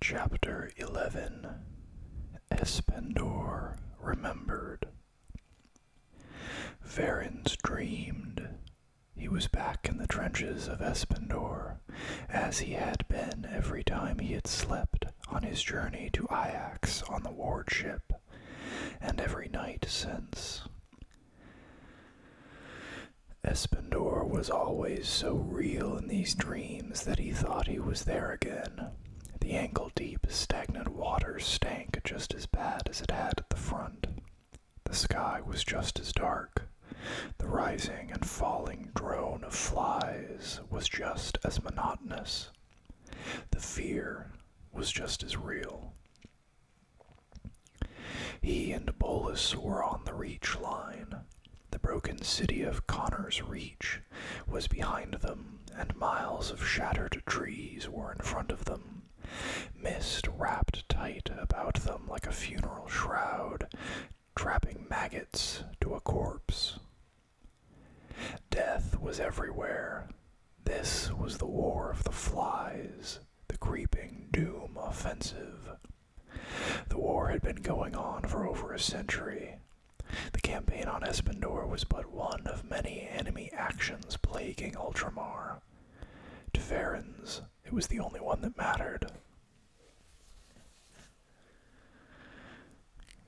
Chapter 11 Espendor Remembered. Varins dreamed. He was back in the trenches of Espendor, as he had been every time he had slept on his journey to Iax on the wardship, and every night since. Espendor was always so real in these dreams that he thought he was there again. The ankle deep, stagnant water stank just as bad as it had at the front. The sky was just as dark. The rising and falling drone of flies was just as monotonous. The fear was just as real. He and Bolus were on the Reach line. The broken city of Connor's Reach was behind them, and miles of shattered trees were in front of them. Mist wrapped tight about them like a funeral shroud, trapping maggots to a corpse. Death was everywhere, this was the war of the flies, the creeping doom offensive. The war had been going on for over a century. The campaign on Espendor was but one of many enemy actions plaguing Ultramar. To Varens, it was the only one that mattered.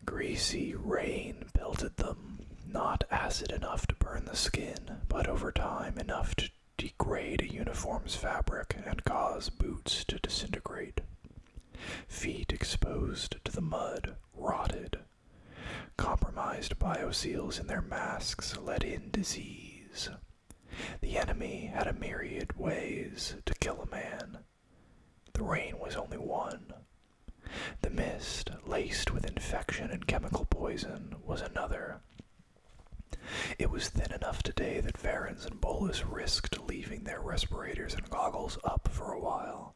Greasy rain pelted them, not acid enough to burn the skin, but over time enough to degrade a uniform's fabric and cause boots to disintegrate. Feet exposed to the mud rotted. Compromised bioseals in their masks let in disease. The enemy had a myriad ways to kill a man. The rain was only one. The mist, laced with infection and chemical poison, was another, it was thin enough today that Varens and Bolus risked leaving their respirators and goggles up for a while.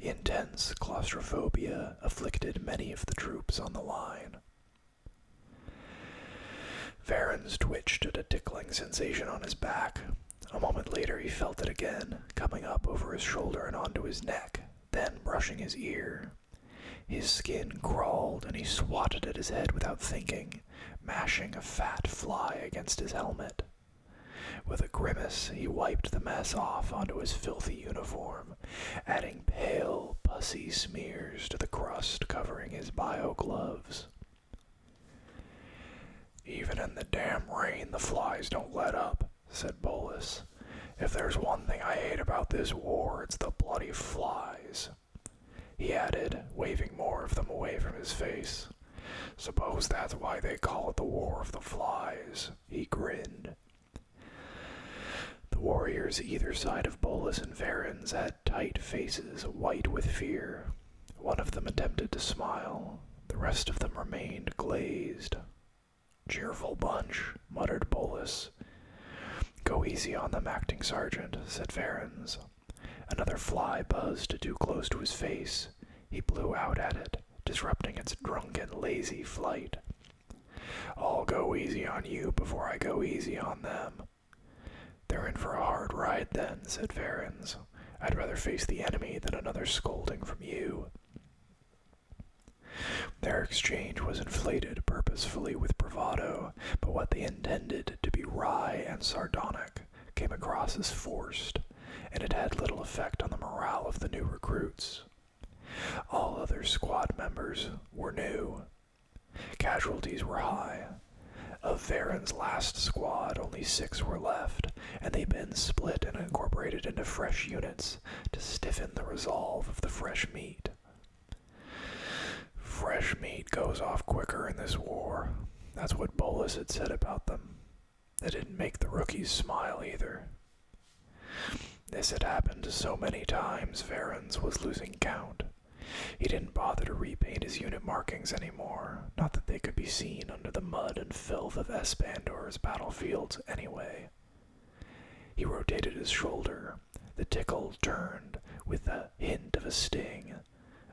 Intense claustrophobia afflicted many of the troops on the line. Varens twitched at a tickling sensation on his back. A moment later, he felt it again, coming up over his shoulder and onto his neck, then brushing his ear. His skin crawled, and he swatted at his head without thinking, mashing a fat fly against his helmet. With a grimace, he wiped the mess off onto his filthy uniform, adding pale, pussy smears to the crust covering his bio gloves. Even in the damn rain, the flies don't let up, said Bolus. If there's one thing I hate about this war, it's the bloody flies. He added, waving more of them away from his face. Suppose that's why they call it the War of the Flies. He grinned. The warriors either side of Bolus and Varens had tight faces, white with fear. One of them attempted to smile. The rest of them remained glazed. Cheerful bunch, muttered Bolus. Go easy on them, acting sergeant, said Varens. Another fly buzzed too close to his face. He blew out at it, disrupting its drunken, lazy flight. I'll go easy on you before I go easy on them. They're in for a hard ride then, said Varens. I'd rather face the enemy than another scolding from you. Their exchange was inflated purposefully with bravado, but what they intended to be wry and sardonic came across as forced, and it had little effect on the morale of the new recruits. All other squad members were new. Casualties were high. Of Varen's last squad, only six were left, and they'd been split and incorporated into fresh units to stiffen the resolve of the fresh meat. Fresh meat goes off quicker in this war. That's what Bolus had said about them. That didn't make the rookies smile either. This had happened so many times, Varens was losing count. He didn't bother to repaint his unit markings anymore, not that they could be seen under the mud and filth of Espandor's battlefields anyway. He rotated his shoulder. The tickle turned with a hint of a sting.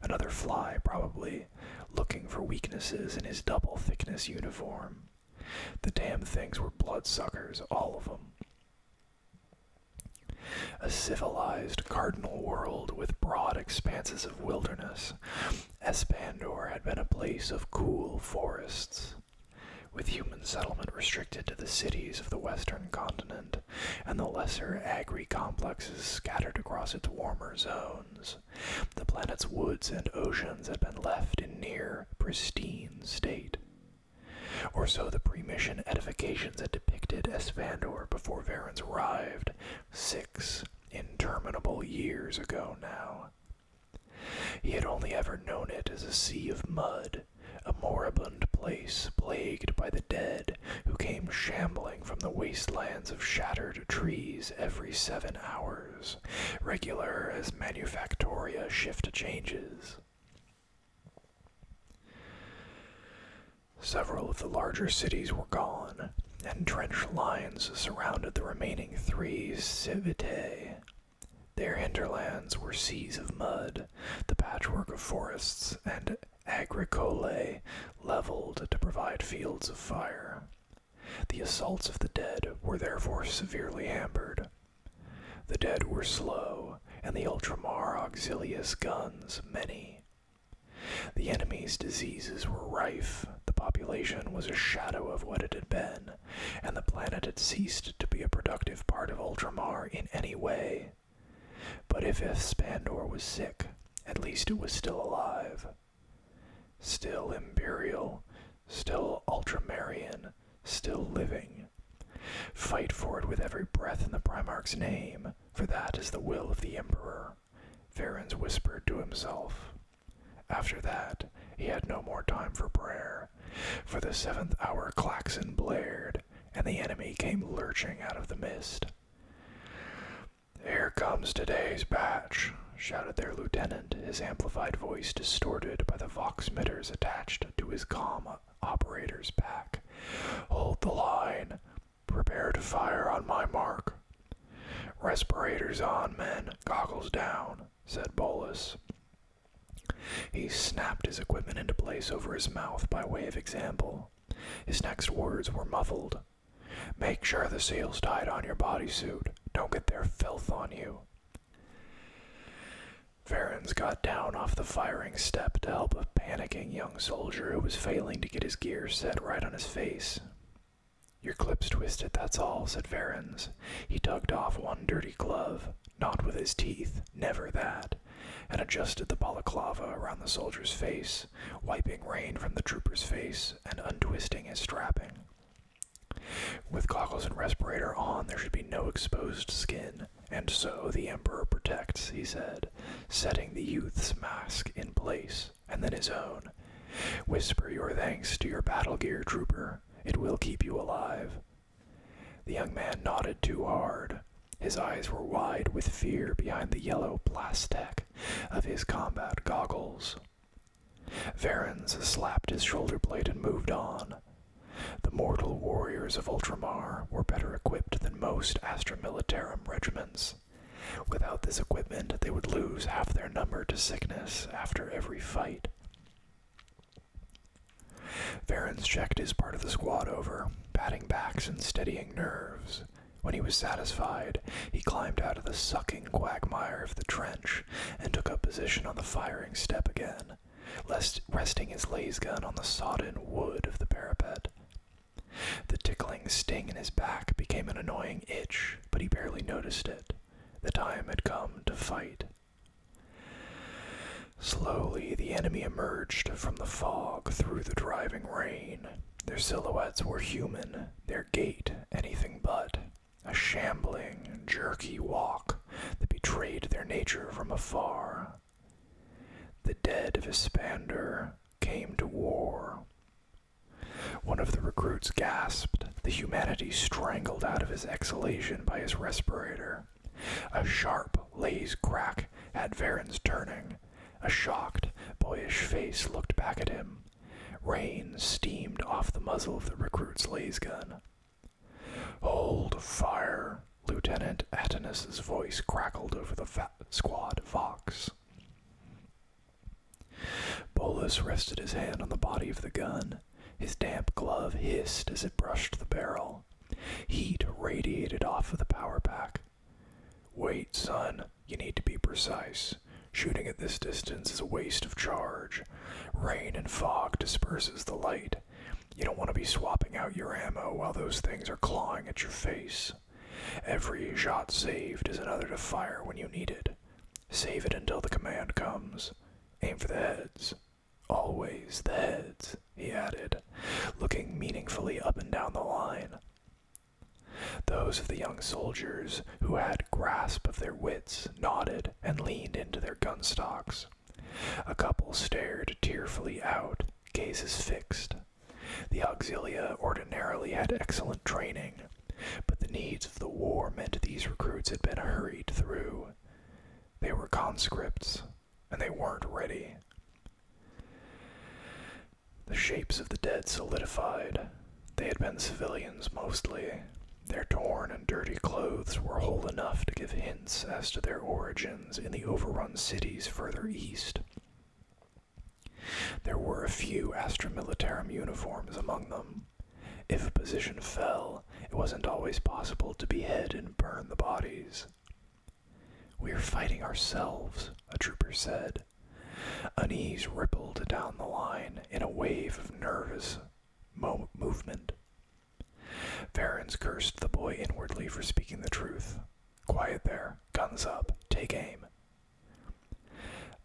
Another fly, probably, looking for weaknesses in his double thickness uniform. The damn things were blood suckers, all of them. A civilized cardinal world with broad expanses of wilderness. Espandor had been a place of cool forests with human settlement restricted to the cities of the western continent and the lesser agri complexes scattered across its warmer zones. The planet's woods and oceans had been left in near pristine state. Or so the pre-mission edifications had depicted Esfandor before Varens arrived, six interminable years ago now. He had only ever known it as a sea of mud, a moribund place plagued by the dead who came shambling from the wastelands of shattered trees every seven hours, regular as manufactoria shift changes. Several of the larger cities were gone, and drenched lines surrounded the remaining three civitates. Their hinterlands were seas of mud, the patchwork of forests and agricolae leveled to provide fields of fire. The assaults of the dead were therefore severely hampered. The dead were slow, and the Ultramar auxilius guns many. The enemy's diseases were rife, the population was a shadow of what it had been, and the planet had ceased to be a productive part of Ultramar in any way. But if Spandor was sick, at least it was still alive. Still Imperial, still Ultramarian, still living. Fight for it with every breath in the Primarch's name, for that is the will of the Emperor, Varens whispered to himself. After that, he had no more time for prayer. For the seventh hour klaxon blared, and the enemy came lurching out of the mist. Here comes today's batch, shouted their lieutenant, his amplified voice distorted by the vox mitters attached to his com operator's pack. Hold the line. Prepare to fire on my mark. Respirators on, men. Goggles down, said Bolus. He snapped his equipment into place over his mouth by way of example. His next words were muffled. Make sure the seal's tied on your bodysuit. Don't get their filth on you. Ferens got down off the firing step to help a panicking young soldier who was failing to get his gear set right on his face. Your clip's twisted, that's all, said Ferens. He tugged off one dirty glove. Not with his teeth, never that, and adjusted the balaclava around the soldier's face, wiping rain from the trooper's face and untwisting his strapping. With goggles and respirator on, there should be no exposed skin, and so the Emperor protects, he said, setting the youth's mask in place, and then his own. Whisper your thanks to your battle gear, trooper. It will keep you alive. The young man nodded too hard. His eyes were wide with fear behind the yellow plastic of his combat goggles. Varens slapped his shoulder blade and moved on. The mortal warriors of Ultramar were better equipped than most Astromilitarum regiments. Without this equipment, they would lose half their number to sickness after every fight. Varens checked his part of the squad over, patting backs and steadying nerves. When he was satisfied, he climbed out of the sucking quagmire of the trench and took up position on the firing step again, resting his laser gun on the sodden wood of the parapet. The tickling sting in his back became an annoying itch, but he barely noticed it. The time had come to fight. Slowly, the enemy emerged from the fog through the driving rain. Their silhouettes were human, their gait anything but. A shambling, jerky walk that betrayed their nature from afar. The dead Vispander came to war. One of the recruits gasped, the humanity strangled out of his exhalation by his respirator. A sharp, lazy crack at Varen's turning. A shocked, boyish face looked back at him. Rain steamed off the muzzle of the recruit's lays Hold fire! Lieutenant Attenus's voice crackled over the squad vox. Bolus rested his hand on the body of the gun his damp glove hissed as it brushed the barrel. Heat radiated off of the power pack. Wait, son, you need to be precise. Shooting at this distance is a waste of charge. Rain and fog disperses the light. You don't want to be swapping out your ammo while those things are clawing at your face. Every shot saved is another to fire when you need it. Save it until the command comes. Aim for the heads. Always the heads, he added, looking meaningfully up and down the line. Those of the young soldiers who had grasp of their wits nodded and leaned into their gun stocks. A couple stared tearfully out, gazes fixed. The auxilia ordinarily had excellent training, but the needs of the war meant these recruits had been hurried through. They were conscripts, and they weren't ready. The shapes of the dead solidified. They had been civilians mostly. Their torn and dirty clothes were whole enough to give hints as to their origins in the overrun cities further east. There were a few Astra uniforms among them, if a position fell, it wasn't always possible to behead and burn the bodies. We're fighting ourselves, a trooper said. Unease rippled down the line in a wave of nervous movement. Varens cursed the boy inwardly for speaking the truth. Quiet there, guns up, take aim.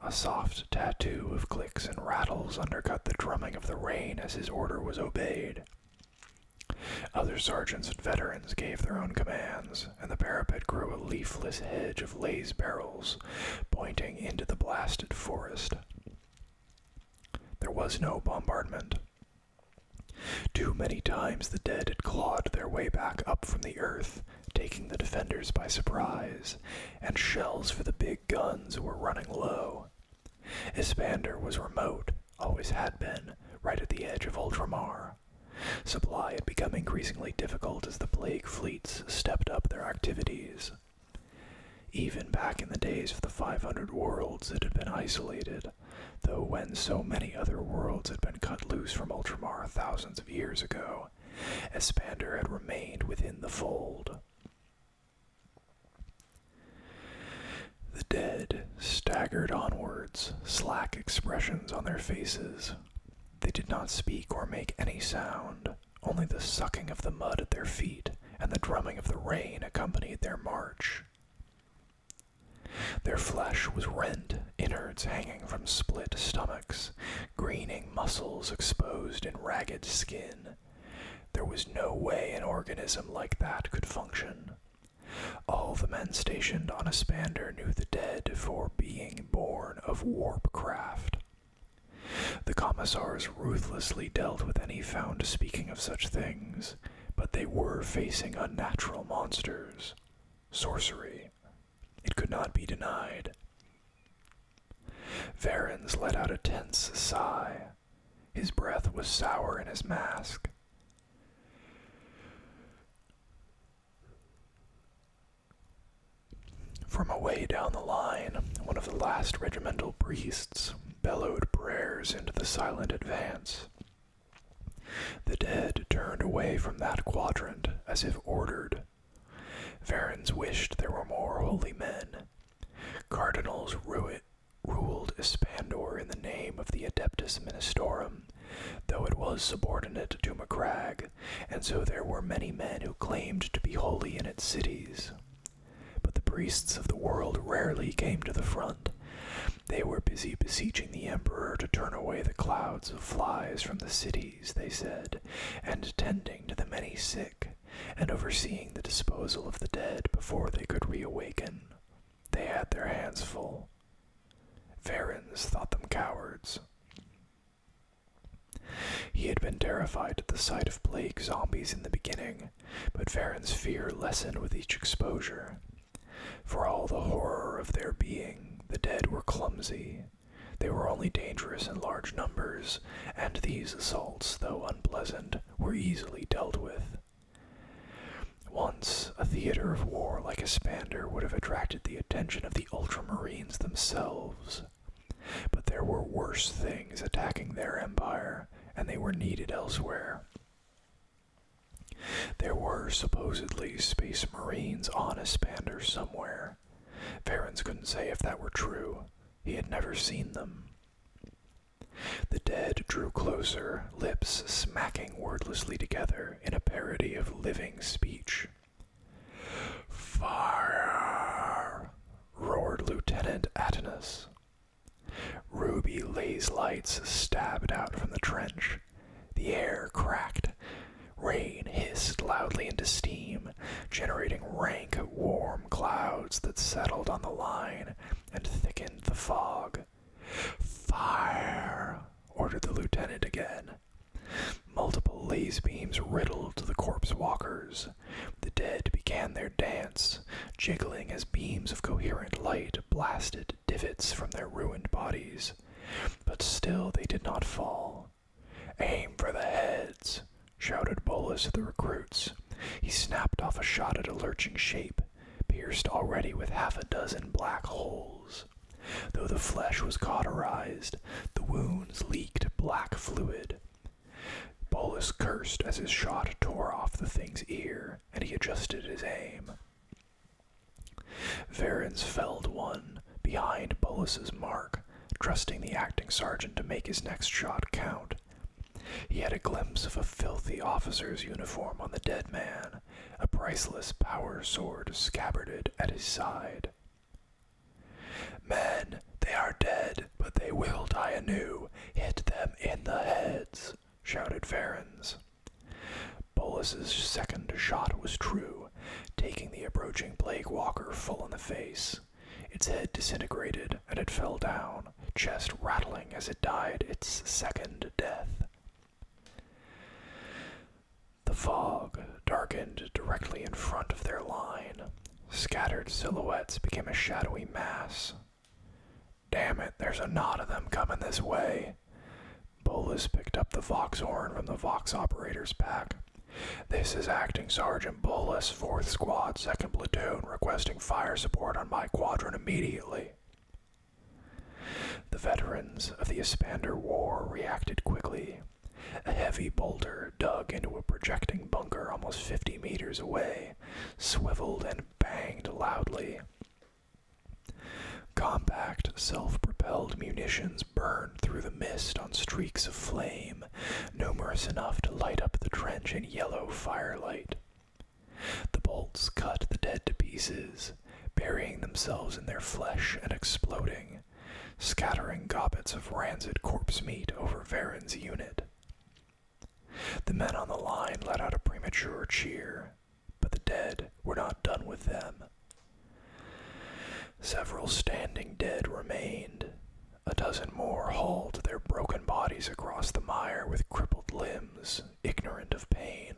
A soft tattoo of and rattles undercut the drumming of the rain as his order was obeyed. Other sergeants and veterans gave their own commands, and the parapet grew a leafless hedge of lays barrels, pointing into the blasted forest. There was no bombardment. Too many times the dead had clawed their way back up from the earth, taking the defenders by surprise, and shells for the big guns were running low. Espander was remote, always had been, right at the edge of Ultramar. Supply had become increasingly difficult as the plague fleets stepped up their activities. Even back in the days of the 500 worlds, it had been isolated, though when so many other worlds had been cut loose from Ultramar thousands of years ago, Espander had remained within the fold. The dead staggered onwards, slack expressions on their faces. They did not speak or make any sound, only the sucking of the mud at their feet and the drumming of the rain accompanied their march. Their flesh was rent, innards hanging from split stomachs, greening muscles exposed in ragged skin, there was no way an organism like that could function. All the men stationed on Aspander knew the dead for being born of warp craft. The commissars ruthlessly dealt with any found speaking of such things, but they were facing unnatural monsters. Sorcery. It could not be denied. Varens let out a tense sigh. His breath was sour in his mask. From away down the line, one of the last regimental priests bellowed prayers into the silent advance. The dead turned away from that quadrant as if ordered. Varens wished there were more holy men. Cardinals rue it ruled Ispandor in the name of the Adeptus Ministorum, though it was subordinate to Macragg, and so there were many men who claimed to be holy in its cities. But the priests of the world rarely came to the front. They were busy beseeching the emperor to turn away the clouds of flies from the cities, they said, and tending to the many sick, and overseeing the disposal of the dead before they could reawaken. They had their hands full. Varens thought them cowards. He had been terrified at the sight of plague zombies in the beginning, but Varen's fear lessened with each exposure. For all the horror of their being, the dead were clumsy. They were only dangerous in large numbers, and these assaults, though unpleasant, were easily dealt with. Once, a theater of war like Espander would have attracted the attention of the Ultramarines themselves. But there were worse things attacking their empire, and they were needed elsewhere. There were supposedly space marines on Espander somewhere. Varens couldn't say if that were true. He had never seen them. The dead drew closer, lips smacking wordlessly together in a parody of living speech. Fire! roared Lieutenant Attinus. Ruby laser lights stabbed out from the trench. The air cracked. Rain hissed loudly into steam, generating rank, warmth clouds that settled on the line and thickened the fog. Fire! ordered the lieutenant again. Multiple laser beams riddled the corpse walkers. The dead began their dance, jiggling as beams of coherent light blasted divots from their ruined bodies. But still they did not fall. Aim for the heads, shouted Bolus to the recruits. He snapped off a shot at a lurching shape, pierced already with half a dozen black holes. Though the flesh was cauterized, the wounds leaked black fluid. Bolus cursed as his shot tore off the thing's ear, and he adjusted his aim. Varens felled one behind Bolus's mark, trusting the acting sergeant to make his next shot count. He had a glimpse of a filthy officer's uniform on the dead man, a priceless power sword scabbarded at his side. Men, they are dead, but they will die anew. Hit them in the heads, shouted Ferens. Bolus's second shot was true, taking the approaching plague walker full in the face. Its head disintegrated and it fell down, chest rattling as it died its second death. The fog darkened directly in front of their line. Scattered silhouettes became a shadowy mass. Damn it, there's a knot of them coming this way. Bolus picked up the Vox horn from the Vox operator's pack. This is Acting Sergeant Bolus, 4th Squad, 2nd Platoon, requesting fire support on my quadrant immediately. The veterans of the Espander War reacted quickly. A heavy boulder dug into a projecting bunker almost 50 meters away, swiveled and banged loudly. Compact, self propelled munitions burned through the mist on streaks of flame, numerous enough to light up the trench in yellow firelight. The bolts cut the dead to pieces, burying themselves in their flesh and exploding, scattering gobbets of rancid corpse meat over Varen's unit. The men on the line let out a premature cheer, but the dead were not done with them. Several standing dead remained, a dozen more hauled their broken bodies across the mire with crippled limbs, ignorant of pain.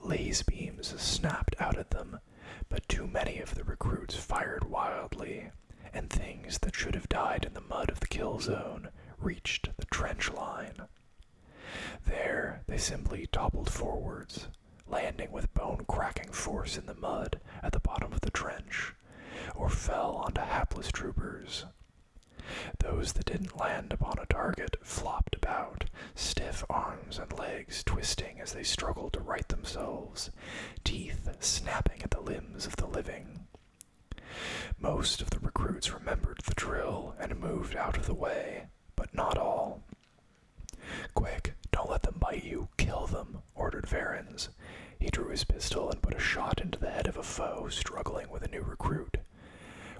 Laze beams snapped out at them, but too many of the recruits fired wildly, and things that should have died in the mud of the kill zone reached the trench line. There they simply toppled forwards, landing with bone cracking force in the mud at the bottom of the trench, or fell onto hapless troopers those that didn't land upon a target flopped about, stiff arms and legs twisting as they struggled to right themselves, teeth snapping at the limbs of the living. Most of the recruits remembered the drill and moved out of the way, but not all. Quick, don't let them bite you, kill them, ordered Varens, he drew his pistol and put a shot into the head of a foe struggling with a new recruit.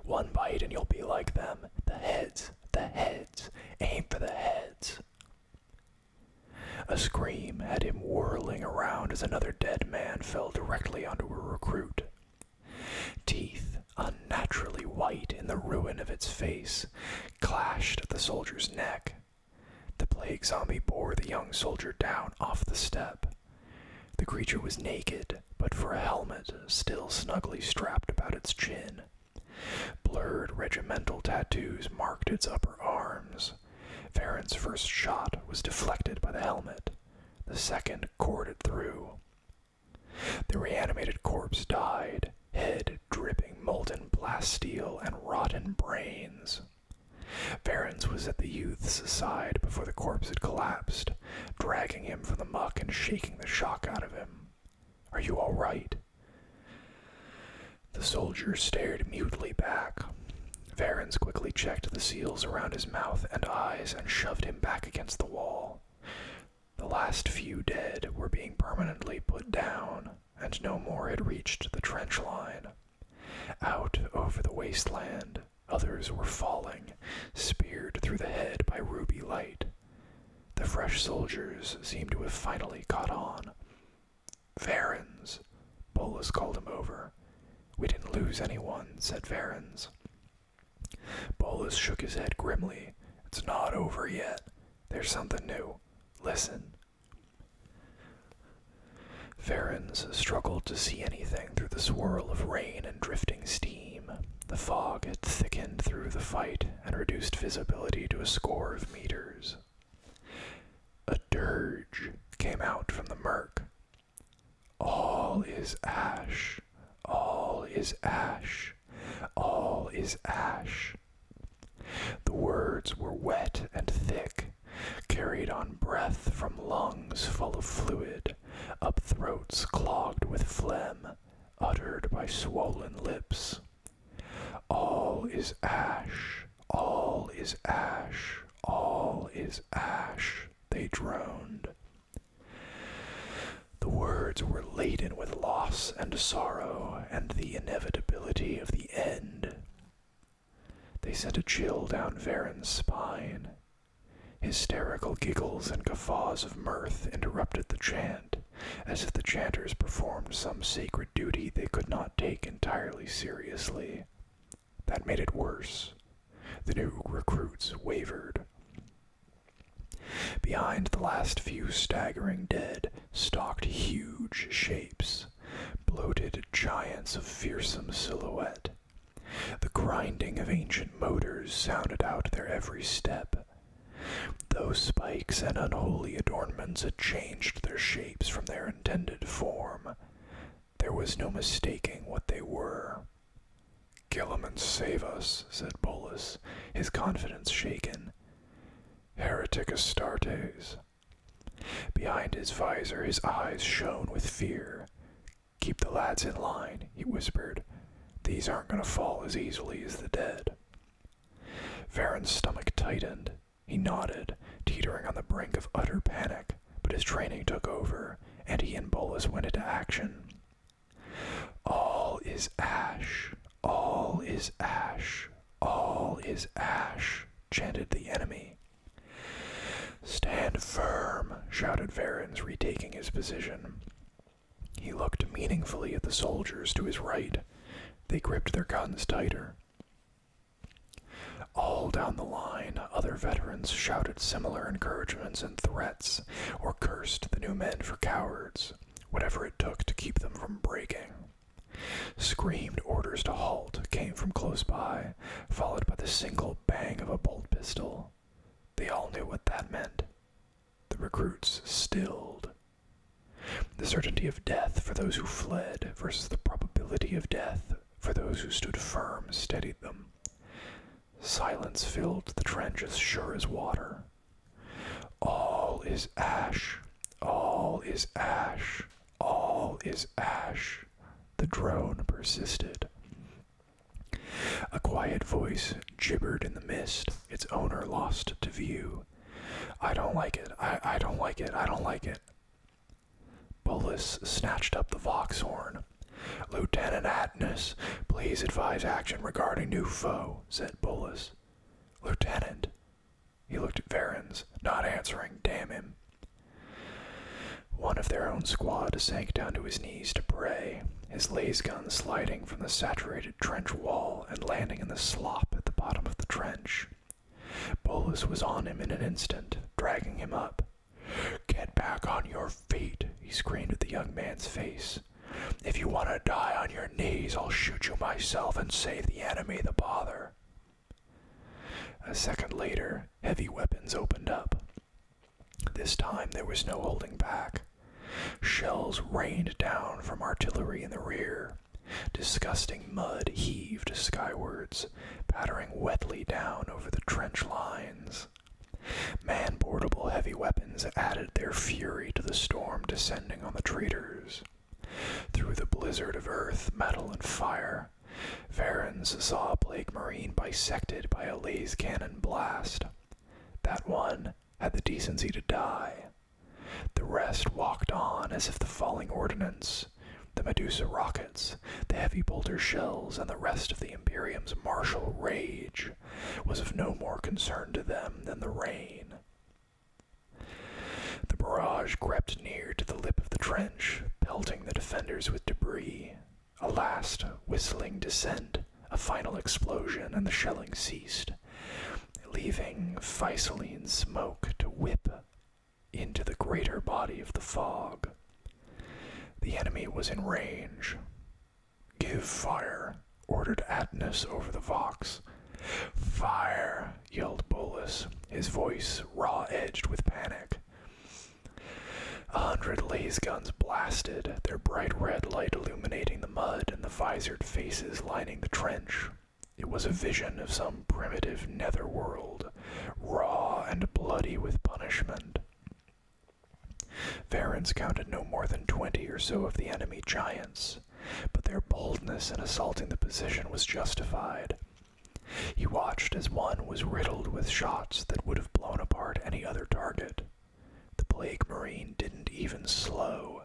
One bite and you'll be like them. The heads, the heads, aim for the heads. A scream had him whirling around as another dead man fell directly onto a recruit. Teeth, unnaturally white in the ruin of its face, clashed at the soldier's neck. The plague zombie bore the young soldier down off the step. The creature was naked, but for a helmet still snugly strapped about its chin. Blurred regimental tattoos marked its upper arms. Varen's first shot was deflected by the helmet. The second corded through. The reanimated corpse died, head dripping molten blast steel and rotten brains. Varens was at the youth's side before the corpse had collapsed, dragging him from the muck and shaking the shock out of him. Are you all right? The soldier stared mutely back. Varens quickly checked the seals around his mouth and eyes and shoved him back against the wall. The last few dead were being permanently put down, and no more had reached the trench line. Out over the wasteland, others were falling, speared through the head by ruby light. The fresh soldiers seemed to have finally caught on. Varens, Bolus called him over. We didn't lose anyone, said Varens. Bolus shook his head grimly. It's not over yet. There's something new. Listen. Varens struggled to see anything through the swirl of rain and drifting steam. The fog had thickened through the fight and reduced visibility to a score of meters. A dirge came out from the murk. All is ash. All is ash. All is ash. The words were wet and thick, carried on breath from lungs full of fluid, up throats clogged with phlegm, uttered by swollen lips. All is ash, all is ash, all is ash, they droned. The words were laden with loss and sorrow and the inevitability of the end. They sent a chill down Varen's spine. Hysterical giggles and guffaws of mirth interrupted the chant, as if the chanters performed some sacred duty they could not take entirely seriously. That made it worse. The new recruits wavered. Behind the last few staggering dead stalked huge shapes bloated giants of fearsome silhouette. The grinding of ancient motors sounded out their every step. Though spikes and unholy adornments had changed their shapes from their intended form, there was no mistaking what they were. Kill them and save us, said Bolus, his confidence shaken. Heretic Astartes, Behind his visor, his eyes shone with fear. Keep the lads in line, he whispered. These aren't going to fall as easily as the dead. Varen's stomach tightened. He nodded, teetering on the brink of utter panic, but his training took over, and he and Bolus went into action. All is ash, all is ash, all is ash, chanted the enemy, Stand firm, shouted Varens, retaking his position. He looked meaningfully at the soldiers to his right. They gripped their guns tighter. All down the line, other veterans shouted similar encouragements and threats, or cursed the new men for cowards, whatever it took to keep them from breaking. Screamed orders to halt came from close by, followed by the single bang of a bolt pistol. They all knew what that meant. The recruits stilled. The certainty of death for those who fled versus the probability of death for those who stood firm steadied them. Silence filled the trench as sure as water. All is ash. All is ash. All is ash, the drone persisted. A quiet voice gibbered in the mist, its owner lost to view. I don't like it, I, I don't like it, I don't like it. Bullis snatched up the vox horn. Lieutenant Atness, please advise action regarding new foe, said Bullis. Lieutenant. He looked at Varens, not answering, damn him. One of their own squad sank down to his knees to pray, his laser gun sliding from the saturated trench wall and landing in the slop at the bottom of the trench. Bolus was on him in an instant, dragging him up. Get back on your feet, he screamed at the young man's face. If you want to die on your knees, I'll shoot you myself and save the enemy the bother. A second later, heavy weapons opened up. This time there was no holding back. Shells rained down from artillery in the rear. Disgusting mud heaved skywards, pattering wetly down over the trench lines. Man-portable heavy weapons added their fury to the storm descending on the traitors. Through the blizzard of earth, metal, and fire, fire. saw Blake Marine bisected by a laser cannon blast. That one had the decency to die. The rest walked on as if the falling ordnance, the Medusa rockets, the heavy boulder shells, and the rest of the Imperium's martial rage was of no more concern to them than the rain. The barrage crept near to the lip of the trench pelting the defenders with debris. A last whistling descent, a final explosion, and the shelling ceased, leaving Faisaline smoke to whip into the greater body of the fog. The enemy was in range. Give fire, ordered Atnus over the Vox. Fire, yelled Bullis, his voice raw edged with panic. A hundred laze guns blasted, their bright red light illuminating the mud and the visored faces lining the trench. It was a vision of some primitive netherworld, raw and bloody with punishment. Varens counted no more than twenty or so of the enemy giants, but their boldness in assaulting the position was justified. He watched as one was riddled with shots that would have blown apart any other target. The Plague Marine didn't even slow,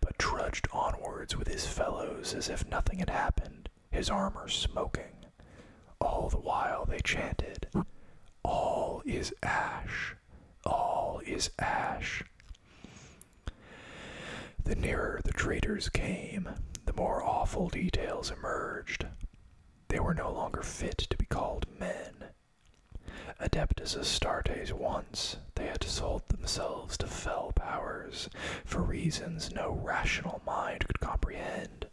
but trudged onwards with his fellows as if nothing had happened, his armor smoking. All the while they chanted, All is ash! All is ash! The nearer the traitors came, the more awful details Merged, They were no longer fit to be called men. Adept Adeptus Astartes once, they had sold themselves to fell powers for reasons no rational mind could comprehend.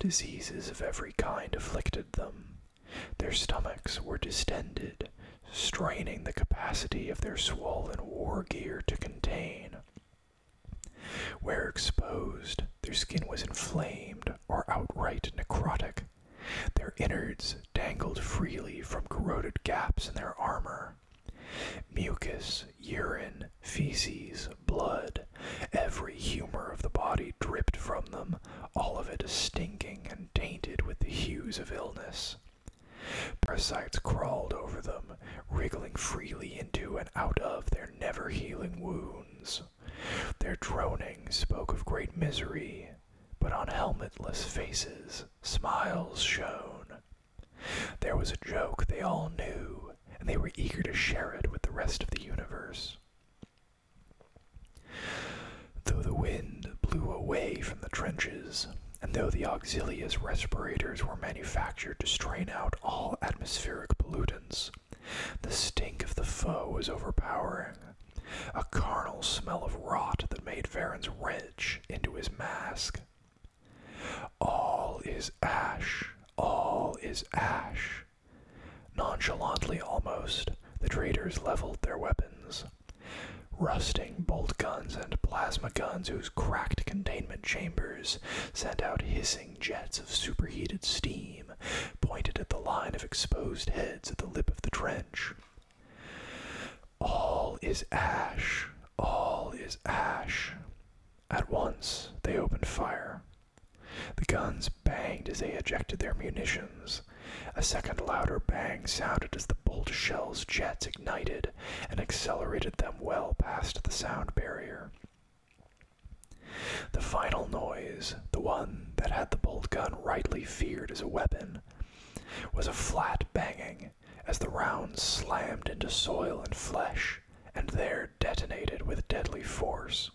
Diseases of every kind afflicted them. Their stomachs were distended, straining the capacity of their swollen war gear to contain. Where exposed, their skin was inflamed or outright necrotic. Their innards dangled freely from corroded gaps in their armor. Mucus, urine, feces, blood, every humor of the body dripped from them, all of it stinking and tainted with the hues of illness. Parasites crawled over them, wriggling freely into and out of their never healing wounds. Their droning spoke of great misery, but on helmetless faces smiles shone. There was a joke they all knew, and they were eager to share it with the rest of the universe. Though the wind blew away from the trenches, and though the auxilius respirators were manufactured to strain out all atmospheric pollutants. The stink of the foe was overpowering, a carnal smell of rot that made Varens wrench into his mask. All is ash, all is ash. Nonchalantly almost, the traders leveled their weapons. Rusting bolt guns and plasma guns whose cracked containment chambers sent out hissing jets of superheated steam, pointed at the line of exposed heads at the lip of the trench. All is ash, all is ash. At once they opened fire. The guns banged as they ejected their munitions. A second louder bang sounded as the bolt shell's jets ignited and accelerated them well past the sound barrier. The final noise, the one that had the bolt gun rightly feared as a weapon, was a flat banging as the rounds slammed into soil and flesh and there detonated with deadly force.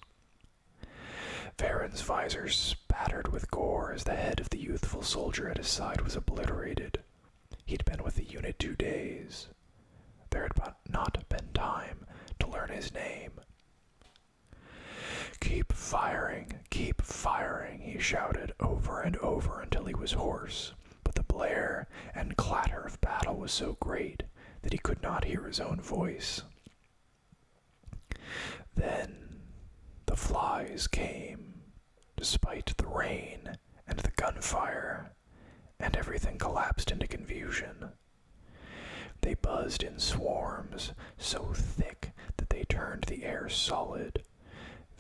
Varin's visor spattered with gore as the head of the youthful soldier at his side was obliterated. He'd been with the unit two days, there had but not been time to learn his name. Keep firing, keep firing, he shouted over and over until he was hoarse. But the blare and clatter of battle was so great that he could not hear his own voice. Then the flies came, despite the rain and the gunfire and everything collapsed into confusion. They buzzed in swarms so thick that they turned the air solid.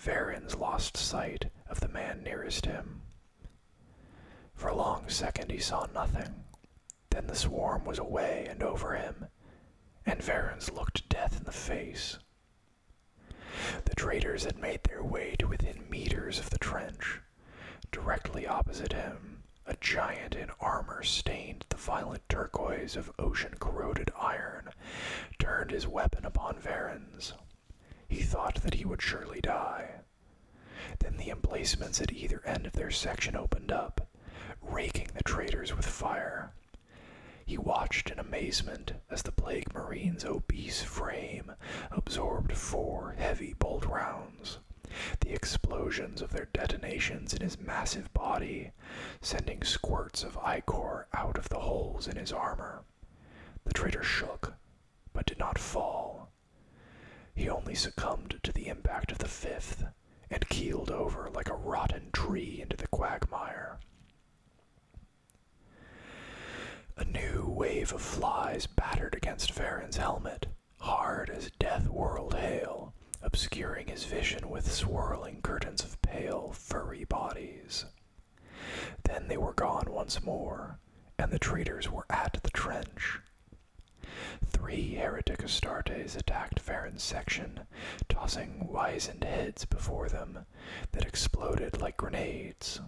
Varins lost sight of the man nearest him. For a long second he saw nothing. Then the swarm was away and over him, and Varins looked death in the face. The traitors had made their way to within meters of the trench. Directly opposite him, a giant in armor stained the violent turquoise of ocean corroded iron, turned his weapon upon Varens. He thought that he would surely die. Then the emplacements at either end of their section opened up, raking the traitors with fire. He watched in amazement as the plague marine's obese frame absorbed four heavy bolt rounds, the explosions of their detonations in his massive body sending squirts of ichor out of the holes in his armor. The traitor shook, but did not fall. He only succumbed to the impact of the fifth and keeled over like a rotten tree into the quagmire. A new wave of flies battered against Varen's helmet, hard as death whirled hail, obscuring his vision with swirling curtains of pale, furry bodies. Then they were gone once more, and the traitors were at the trench. Three heretic Astartes attacked Varen's section, tossing wizened heads before them that exploded like grenades.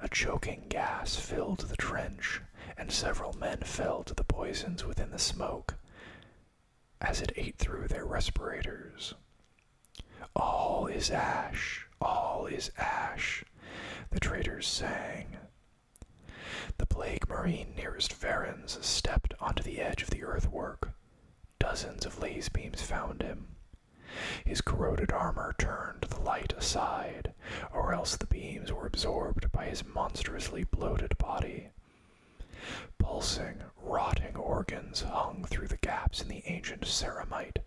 A choking gas filled the trench, and several men fell to the poisons within the smoke as it ate through their respirators. All is ash, all is ash, the traitors sang. The plague marine nearest Varens stepped onto the edge of the earthwork. Dozens of laser beams found him, his corroded armor turned the light aside, or else the beams were absorbed by his monstrously bloated body. Pulsing, rotting organs hung through the gaps in the ancient ceramite.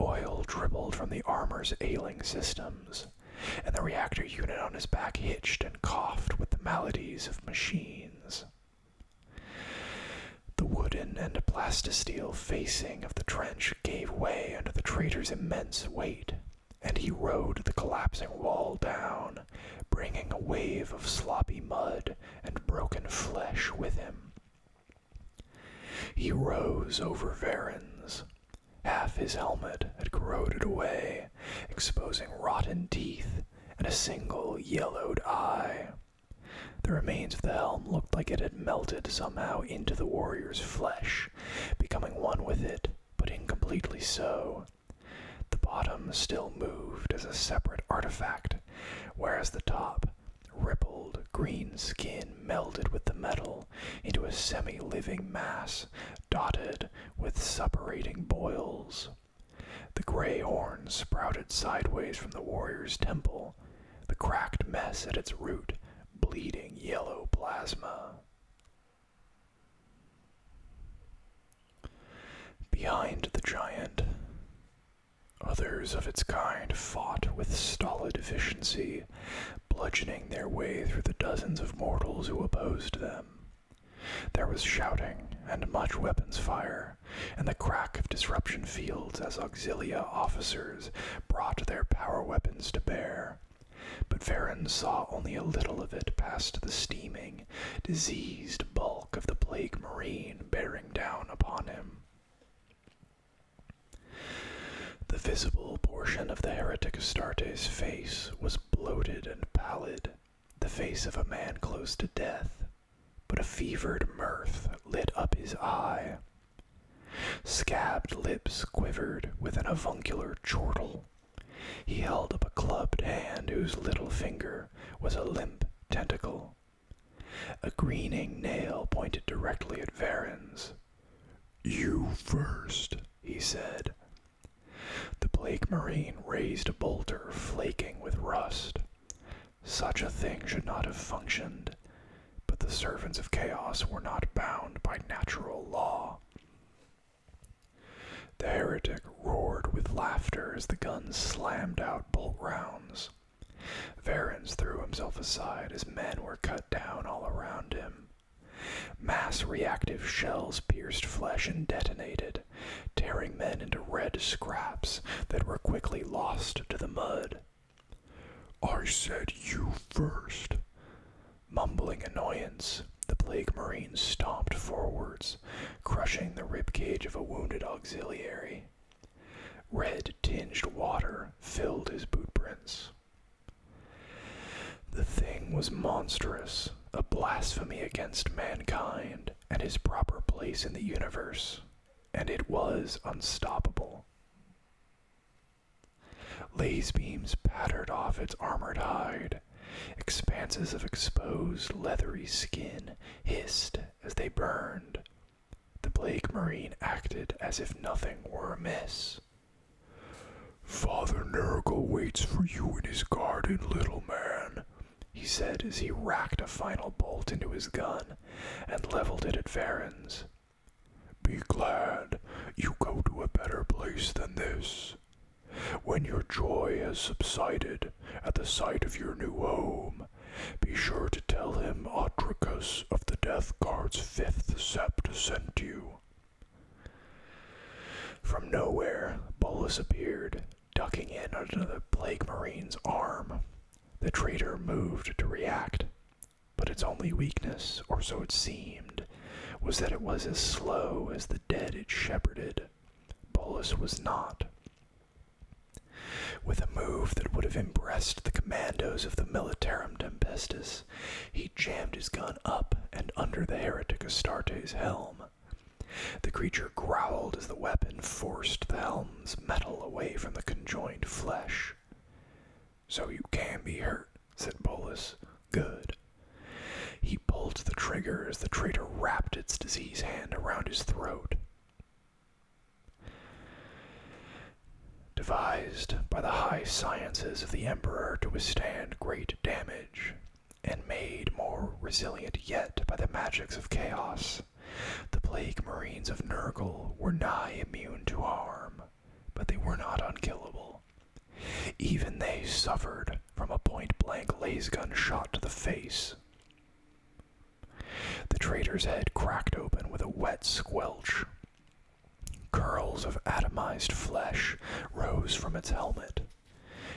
Oil dribbled from the armor's ailing systems, and the reactor unit on his back hitched and coughed with the maladies of machines. The wooden and plastisteel facing of the trench gave way under the traitor's immense weight, and he rode the collapsing wall down, bringing a wave of sloppy mud and broken flesh with him. He rose over Varens. Half his helmet had corroded away, exposing rotten teeth and a single yellowed eye. The remains of the helm looked like it had melted somehow into the warrior's flesh, becoming one with it, but incompletely so. The bottom still moved as a separate artifact, whereas the top, rippled green skin melded with the metal into a semi living mass dotted with suppurating boils. The gray horn sprouted sideways from the warrior's temple, the cracked mess at its root, bleeding yellow plasma. Behind the giant, others of its kind fought with stolid efficiency, bludgeoning their way through the dozens of mortals who opposed them. There was shouting and much weapons fire, and the crack of disruption fields as auxilia officers brought their power weapons to bear. But Varon saw only a little of it past the steaming, diseased bulk of the plague marine bearing down upon him. The visible portion of the heretic Astarte's face was bloated and pallid, the face of a man close to death, but a fevered mirth lit up his eye. Scabbed lips quivered with an avuncular chortle. He held up a clubbed hand whose little finger was a limp tentacle. A greening nail pointed directly at Varren's. You first," he said. The Blake Marine raised a boulder flaking with rust. Such a thing should not have functioned, but the servants of chaos were not bound by natural law. The heretic roared with laughter as the guns slammed out bolt rounds. Varens threw himself aside as men were cut down all around him. Mass reactive shells pierced flesh and detonated, tearing men into red scraps that were quickly lost to the mud. I said you first. Mumbling annoyance, the Plague Marine stomped forwards, crushing the rib cage of a wounded auxiliary. Red tinged water filled his boot prints. The thing was monstrous, a blasphemy against mankind and his proper place in the universe, and it was unstoppable. Laser beams pattered off its armored hide. Expanses of exposed, leathery skin hissed as they burned. The Blake Marine acted as if nothing were amiss. Father Nurgle waits for you in his garden, little man, he said as he racked a final bolt into his gun and leveled it at Varen's. Be glad you go to a better place than this. When your joy has subsided at the sight of your new home, be sure to tell him Otricus of the Death Guard's fifth sept sent you. From nowhere, Bolus appeared, ducking in under the plague marine's arm. The traitor moved to react. But its only weakness, or so it seemed, was that it was as slow as the dead it shepherded. Polus was not. With a move that would have impressed the commandos of the Militarum Tempestus, he jammed his gun up and under the heretic Astarte's helm. The creature growled as the weapon forced the helm's metal away from the conjoined flesh. So you can be hurt, said Bolus. Good. He pulled the trigger as the traitor wrapped its diseased hand around his throat. Devised by the high sciences of the Emperor to withstand great damage, and made more resilient yet by the magics of chaos, the plague marines of Nurgle were nigh immune to harm, but they were not unkillable. Even they suffered from a point blank lasgun shot to the face. The traitor's head cracked open with a wet squelch. Curls of atomized flesh rose from its helmet.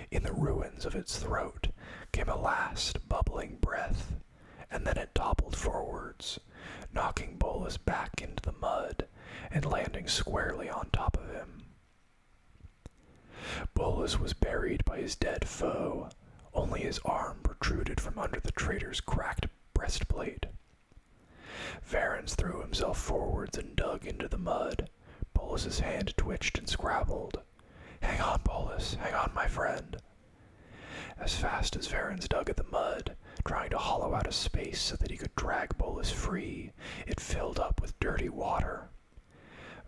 In the ruins of its throat came a last bubbling breath, and then it toppled forwards, knocking Bolus back into the mud and landing squarely on top of him. Bolus was buried by his dead foe, only his arm protruded from under the traitor's cracked breastplate. Varens threw himself forwards and dug into the mud. Bolus's hand twitched and scrabbled. Hang on, Bolus, hang on, my friend. As fast as Varens dug at the mud, trying to hollow out a space so that he could drag Bolus free, it filled up with dirty water.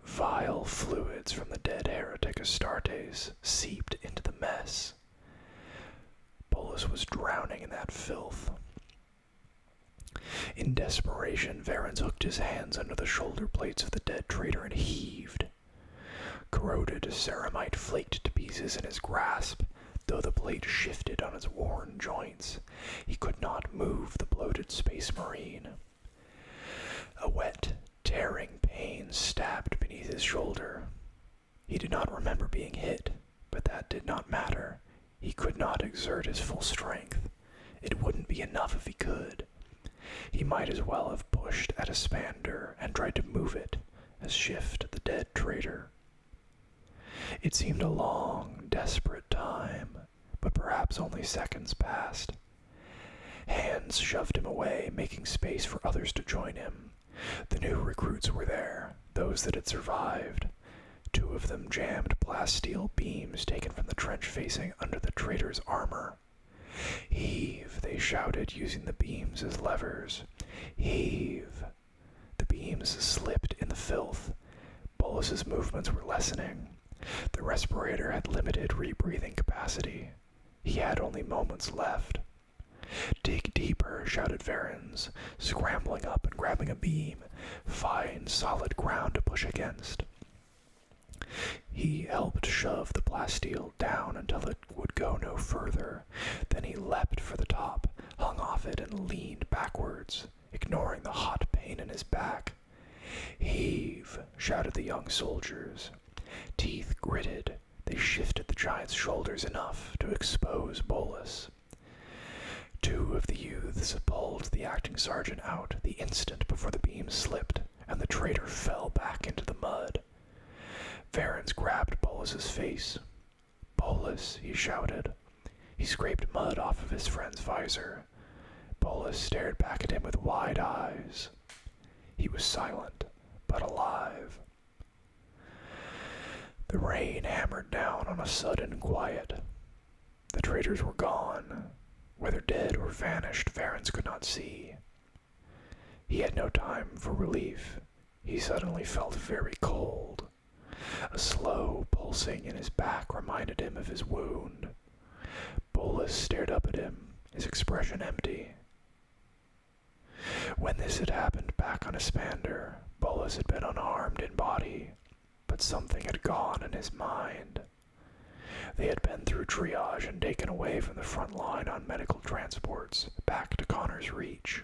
Vile fluids from the dead heretic Astartes seeped into the mess. Bolus was drowning in that filth. In desperation, Varens hooked his hands under the shoulder plates of the dead traitor and heaved. Corroded ceramite flaked to pieces in his grasp, though the blade shifted on its worn joints. He could not move the bloated space marine. A wet, tearing pain stabbed beneath his shoulder. He did not remember being hit, but that did not matter. He could not exert his full strength. It wouldn't be enough if he could. He might as well have pushed at a spander and tried to move it, as Shift, the dead traitor. It seemed a long, desperate time, but perhaps only seconds passed. Hands shoved him away, making space for others to join him. The new recruits were there, those that had survived. Two of them jammed blast steel beams taken from the trench facing under the traitor's armor. Heave, they shouted, using the beams as levers. Heave! The beams slipped in the filth. Bolus's movements were lessening. The respirator had limited rebreathing capacity. He had only moments left. Dig deeper, shouted Varens, scrambling up and grabbing a beam. Find solid ground to push against. He helped shove the plasteel down until it would go no further. Then he leaped for the top, hung off it, and leaned backwards, ignoring the hot pain in his back. Heave! shouted the young soldiers. Teeth gritted, they shifted the giant's shoulders enough to expose Bolus. Two of the youths pulled the acting sergeant out the instant before the beam slipped, and the traitor fell back into the mud head. Varens grabbed Bolus's face. Bolus, he shouted. He scraped mud off of his friend's visor. Bolus stared back at him with wide eyes. He was silent, but alive. The rain hammered down on a sudden quiet. The traitors were gone. Whether dead or vanished, Varens could not see. He had no time for relief. He suddenly felt very cold. A slow pulsing in his back reminded him of his wound. Bolus stared up at him, his expression empty. When this had happened back on Aspander, Bolus had been unharmed in body, but something had gone in his mind. They had been through triage and taken away from the front line on medical transports back to Connor's reach.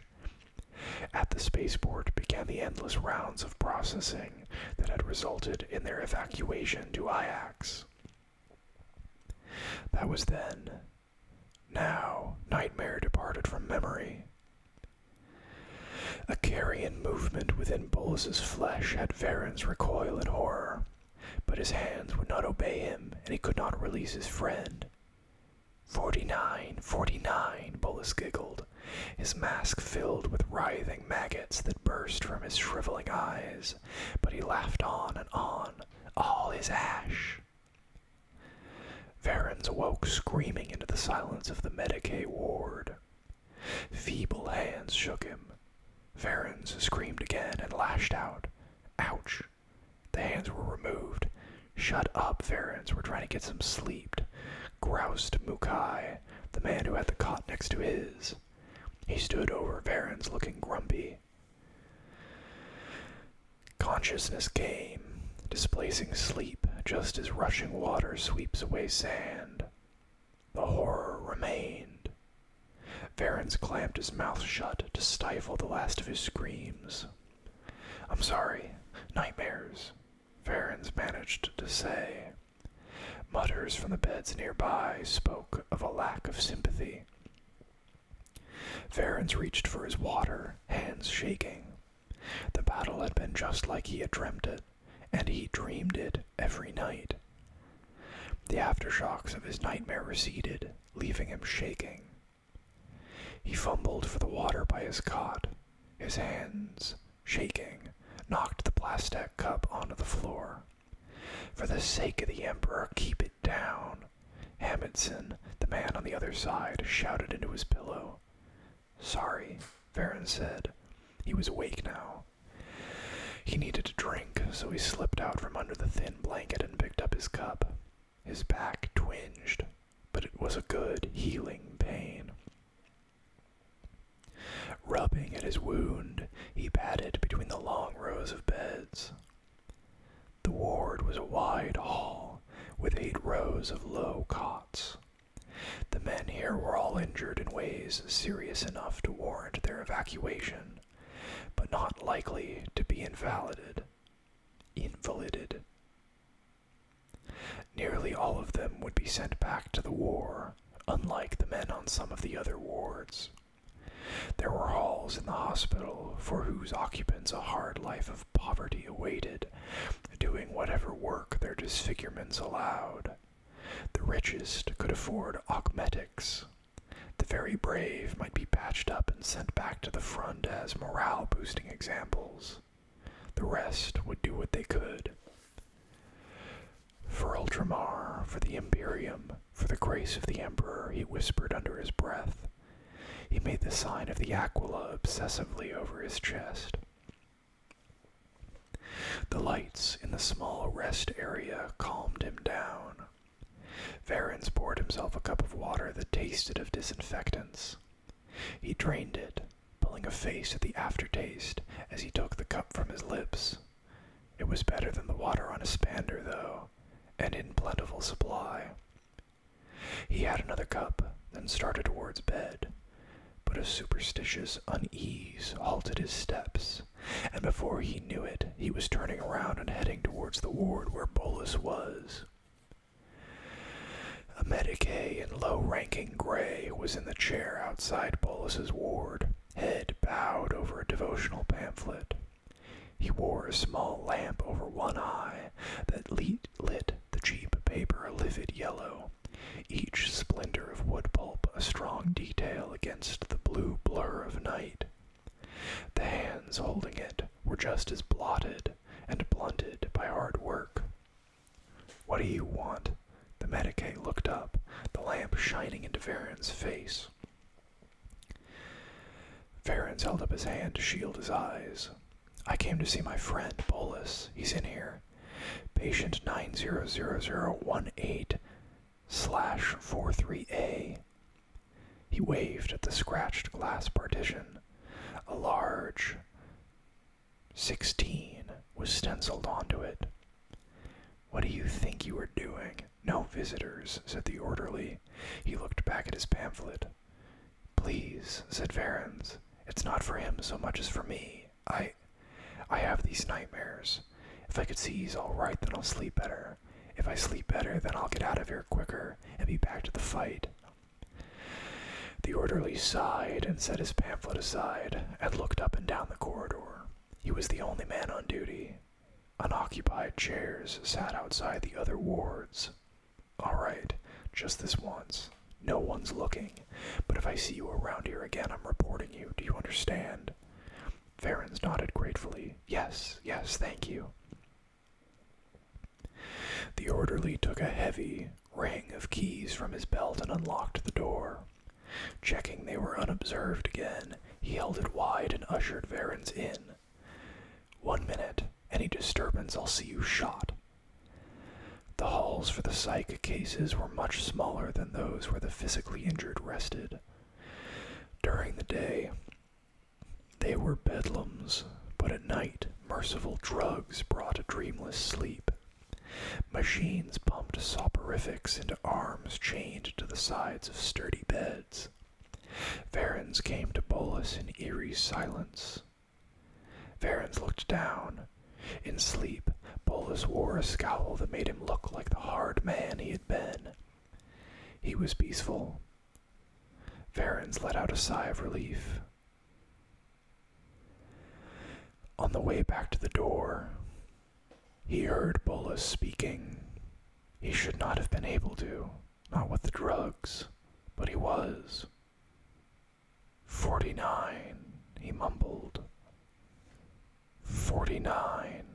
At the spaceport began the endless rounds of processing that had resulted in their evacuation to Iax. That was then. Now, nightmare departed from memory. A carrion movement within Bolus's flesh had Varen's recoil in horror, but his hands would not obey him, and he could not release his friend. Forty-nine, forty-nine, Bolus giggled, his mask filled with writhing maggots that burst from his shriveling eyes, but he laughed on and on, all his ash. Varens awoke screaming into the silence of the Medicaid ward. Feeble hands shook him. Varens screamed again and lashed out. Ouch! The hands were removed. Shut up, Varens. We're trying to get some sleep. Groused Mukai, the man who had the cot next to his. He stood over Varens, looking grumpy. Consciousness came, displacing sleep just as rushing water sweeps away sand. The horror remained. Varens clamped his mouth shut to stifle the last of his screams. I'm sorry, nightmares, Varens managed to say. Mutters from the beds nearby spoke of a lack of sympathy. Varens reached for his water, hands shaking. The battle had been just like he had dreamed it, and he dreamed it every night. The aftershocks of his nightmare receded, leaving him shaking he fumbled for the water by his cot, his hands, shaking, knocked the plastic cup onto the floor. For the sake of the Emperor, keep it down. Hamidson, the man on the other side, shouted into his pillow. Sorry, Varon said. He was awake now. He needed a drink, so he slipped out from under the thin blanket and picked up his cup. His back twinged, but it was a good healing pain. Rubbing at his wound, he padded between the long rows of beds. The ward was a wide hall with eight rows of low cots. The men here were all injured in ways serious enough to warrant their evacuation, but not likely to be invalided, invalided. Nearly all of them would be sent back to the war, unlike the men on some of the other wards. There were halls in the hospital for whose occupants a hard life of poverty awaited, doing whatever work their disfigurements allowed. The richest could afford augmetics, the very brave might be patched up and sent back to the front as morale boosting examples. The rest would do what they could. For Ultramar, for the Imperium, for the grace of the Emperor, he whispered under his breath. He made the sign of the Aquila obsessively over his chest. The lights in the small rest area calmed him down. Varens poured himself a cup of water that tasted of disinfectants. He drained it, pulling a face at the aftertaste as he took the cup from his lips. It was better than the water on a spander, though, and in plentiful supply. He had another cup, then started towards bed. But a superstitious unease halted his steps, and before he knew it, he was turning around and heading towards the ward where Bolus was. A medic-A in low-ranking gray was in the chair outside Bolus's ward, head bowed over a devotional pamphlet. He wore a small lamp over one eye that lit the cheap paper a livid yellow, each splendor of wood pulp a strong detail against the blue blur of night. The hands holding it were just as blotted and blunted by hard work. What do you want? The Medicaid looked up, the lamp shining into Varen's face. Varen's held up his hand to shield his eyes. I came to see my friend, Bolus. He's in here. Patient 900018 slash 43A. He waved at the scratched glass partition. A large 16 was stenciled onto it. What do you think you are doing? No visitors, said the orderly. He looked back at his pamphlet. Please, said Varens. It's not for him so much as for me. I I have these nightmares. If I could see he's all right, then I'll sleep better. If I sleep better, then I'll get out of here quicker and be back to the fight. The orderly sighed and set his pamphlet aside and looked up and down the corridor. He was the only man on duty. Unoccupied chairs sat outside the other wards. All right, just this once. No one's looking, but if I see you around here again, I'm reporting you. Do you understand? Ferens nodded gratefully. Yes, yes, thank you. The orderly took a heavy ring of keys from his belt and unlocked the door. Checking they were unobserved again, he held it wide and ushered Varens in. One minute, any disturbance, I'll see you shot. The halls for the psych cases were much smaller than those where the physically injured rested. During the day, they were bedlams, but at night merciful drugs brought a dreamless sleep. Machines pumped soporifics into arms chained to the sides of sturdy beds. Varens came to bolus in eerie silence. Varens looked down. In sleep, Bolus wore a scowl that made him look like the hard man he had been. He was peaceful, Varens let out a sigh of relief. On the way back to the door, he heard Bolus speaking. He should not have been able to, not with the drugs, but he was. Forty nine, he mumbled. Forty nine.